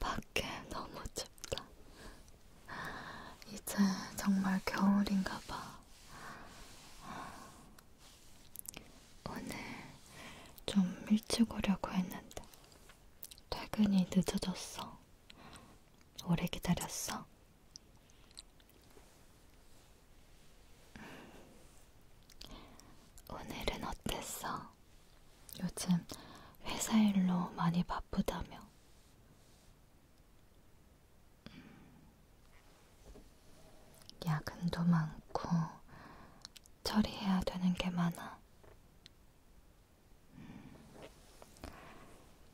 밖에 너무 춥다. 이제 정말 겨울인가봐. 오늘 좀 일찍 오려고 했는데 퇴근이 늦어졌어. 오래 기다렸어. 오늘은 어땠어? 요즘 회사 일로 많이 바쁘다며. 음. 야근도 많고 처리해야 되는 게 많아. 음.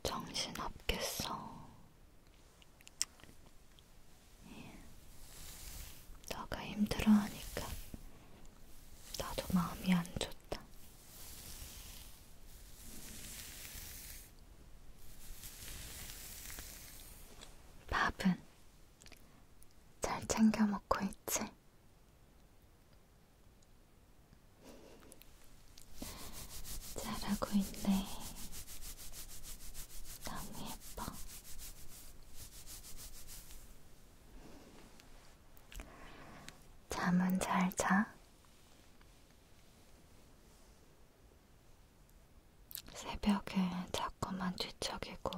정신 없겠어. 예. 너가 힘들어하니까 나도 마음이 안 좋다. 밥은 잘 챙겨 먹고 있지? 잘하고 있네. 너무 예뻐. 잠은 잘 자. 새벽에 자꾸만 뒤척이고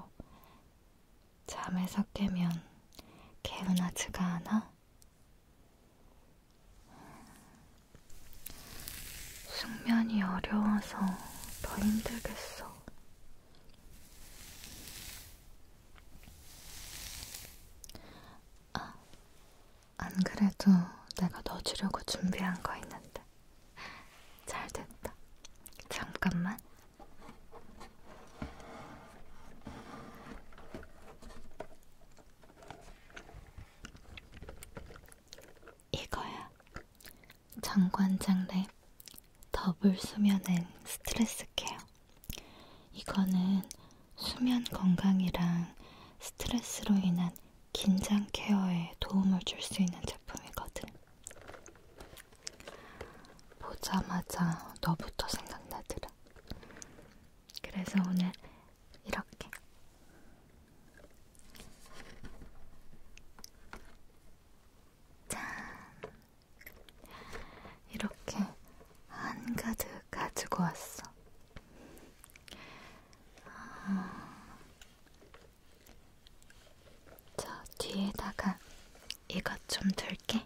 잠에서 깨면 개운하지가 않아? 숙면이 어려워서 더 힘들겠어. 아, 안 그래도 내가 넣어주려고 준비한 거 있는데. 잘 됐다. 잠깐만. 이거야. 장관장랩 더블 수면은 스트레스 케어. 이거는 수면 건강이랑 스트레스로 인한 긴장 케어에 도움을 줄 수 있는 제품이거든. 보자마자 너부터 생각나더라. 그래서 오늘 이렇게 짠 이렇게 한가득 가지고 왔어. 아... 저 뒤에다가 이것 좀 둘게.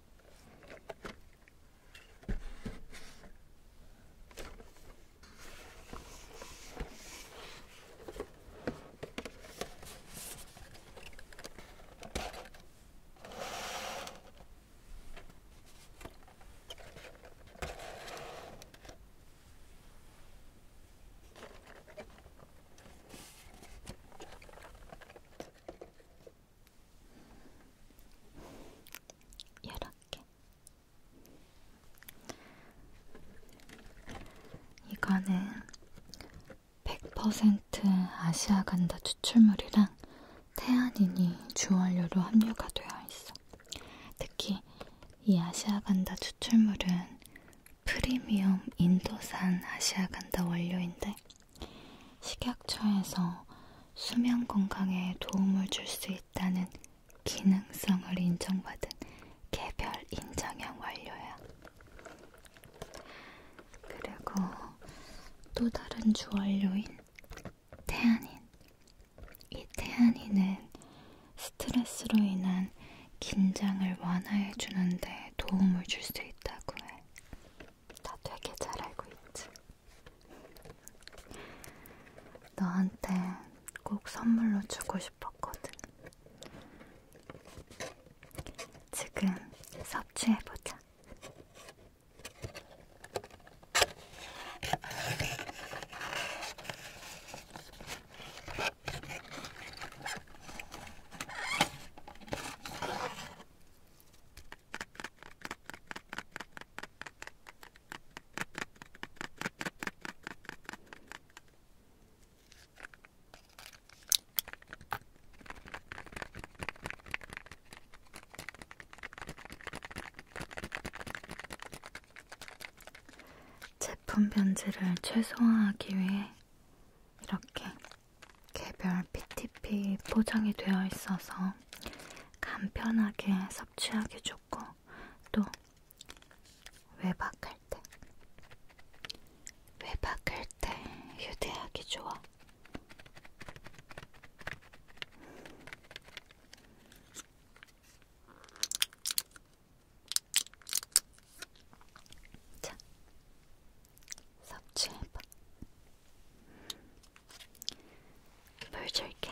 이렇게 이거는 100% 아시아 간다 추출물이랑 태아닌이 주원료로 함유가 되어 있어. 특히 이 아시아 간다 추출물은 프리미엄 인도산 아시아 간다 원료인데 식약처에서 수면 건강에 도움을 줄 수 있다는 기능성을 인정받은 개별 인정형 원료야. 그리고 또 다른 주원료인 태아닌. 이 태아닌은 스트레스로 인한 긴장을 완화해 주는데 도움을 줄 수 있다고 해. 나 되게 잘 알고 있지. 너한테 꼭 선물로 주고 싶었거든. 지금 섭취해보자. 제품 변질을 최소화하기 위해 이렇게 개별 PTP 포장이 되어 있어서 간편하게 섭취하기 좋고 또 외박할 때 외박할 때 휴대하기 좋아. 자, 섭취해봐. 물 줄게.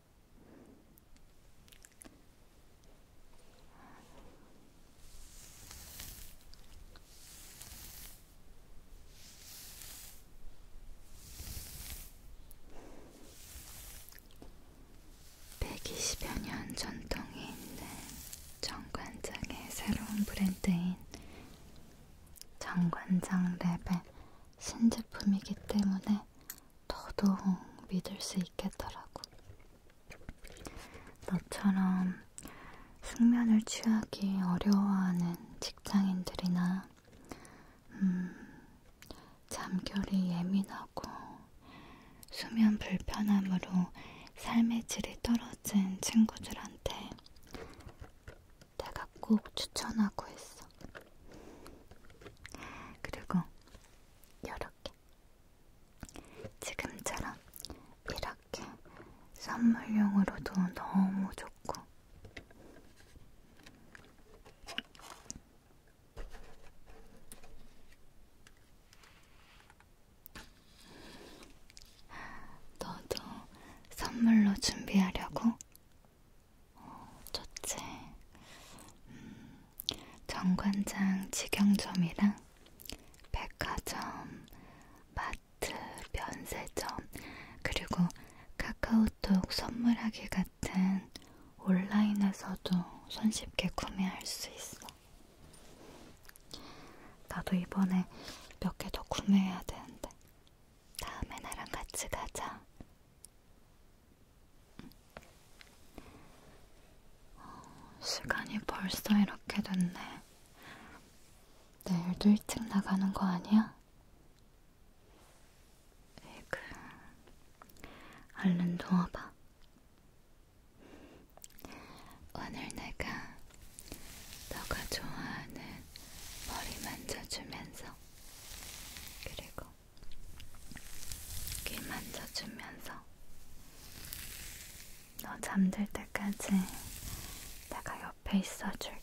120여 년 전통이 있는 정관장의 새로운 브랜드인 정관장 랩의 신제품이기 때문에 더더욱 믿을 수 있겠더라고. 너처럼 숙면을 취하기 어려워하는 직장인들이나 음, 잠결이 예민하고 수면 불편함으로 삶의 질이 떨어진 친구들한테 내가 꼭 추천하고 있어. 그리고 요렇게 지금처럼 이렇게 선물용으로도 너무 좋고 너도 선물로 준비하려고 어, 첫째, 음, 정관장 직영점이랑 백화점, 마트, 면세점, 그리고 카카오톡 선물하기 같은 온라인에서도 손쉽게 구매할 수 있어. 나도 이번에 몇 개 더 구매해야 되는데. 다음에 나랑 같이 가자. 어, 시간이 벌써 이렇게 됐네. 내일도 일찍 나가는 거 아니야? 에그, 얼른 누워봐. 오늘 내가 너가 좋아하는 머리 만져주면서 그리고 귀 만져주면서 너 잠들 때까지 내가 옆에 있어줄게.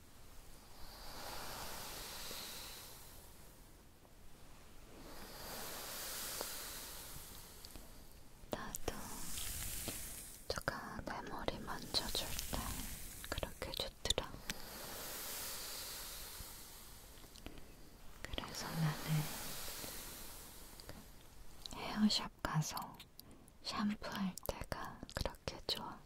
나도 누가 내 머리 만져줄 때 그렇게 좋더라. 그래서 나는 헤어샵 가서 샴푸할 때가 그렇게 좋아.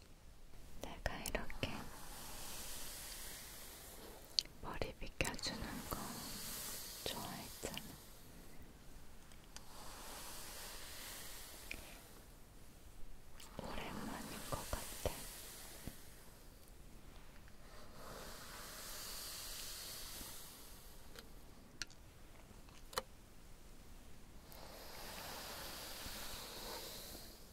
내가 이렇게 머리 빗겨주는 거 좋아했잖아. 오랜만인 것 같아.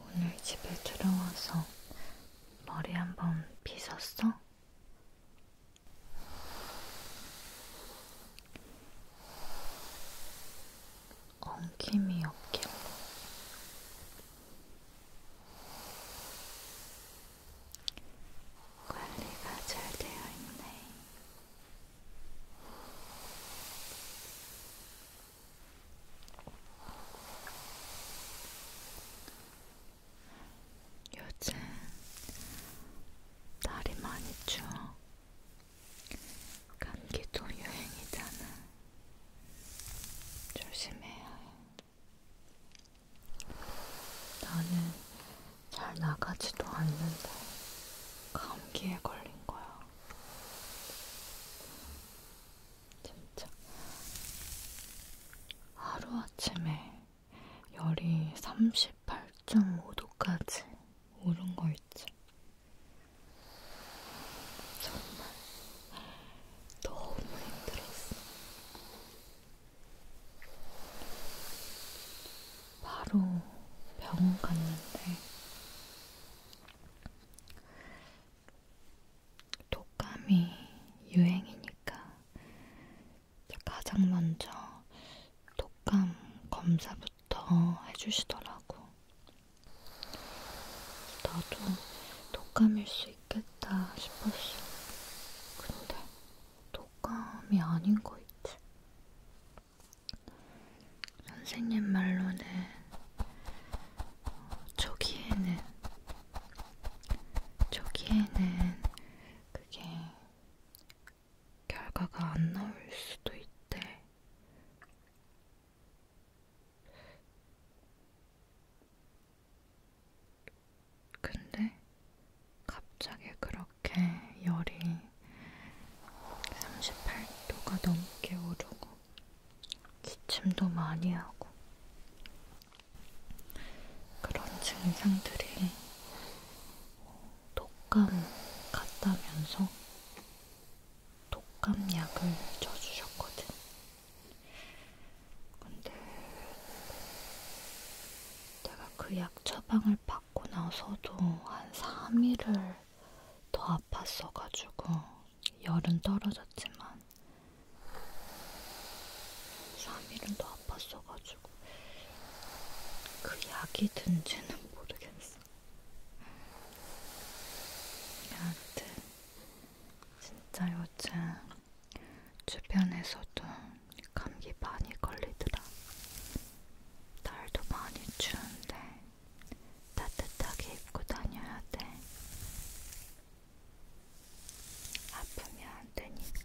오늘 집에 들어와서 머리 한번 빗었어? 엉킴이 없길래 관리가 잘 되어 있네. 요즘 날이 많이 추워. 감기도 유행이잖아. 조심해야 해. 나는 잘 나가지도 않는데 감기에 걸린 거야. 진짜 하루아침에 열이 38.5도까지 오른 거 있지. 정말 너무 힘들었어. 바로 병원 갔는데 독감이 유행이니까 가장 먼저 독감 검사부터 해주시더라고. 나도 독감일 수 있겠다 싶었어. 근데 호감이 아닌 거 있지. 선생님 말로는 어, 초기에는 초기에는 그게 결과가 안 나올 수도 있대. 근데 갑자기 그렇게 열이 38도가 넘게 오르고 기침도 많이 하고 그런 증상들이 독감 같다면서 독감약을 쳐주셨거든. 근데 내가 그 약 처방을 받고 나서도 한 3일을 더 아팠어가지고 열은 떨어졌지만 3일은 더 아팠어가지고 그 약이 든지는 모르겠어. 여하튼 진짜 요즘 주변에서도 감기 많이 걸리더라. 날도 많이 추운데 따뜻하게 입고 다녀야 돼. 아프면 안 되니까.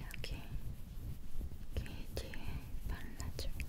여기 귀 뒤에 발라줄게.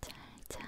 잘자.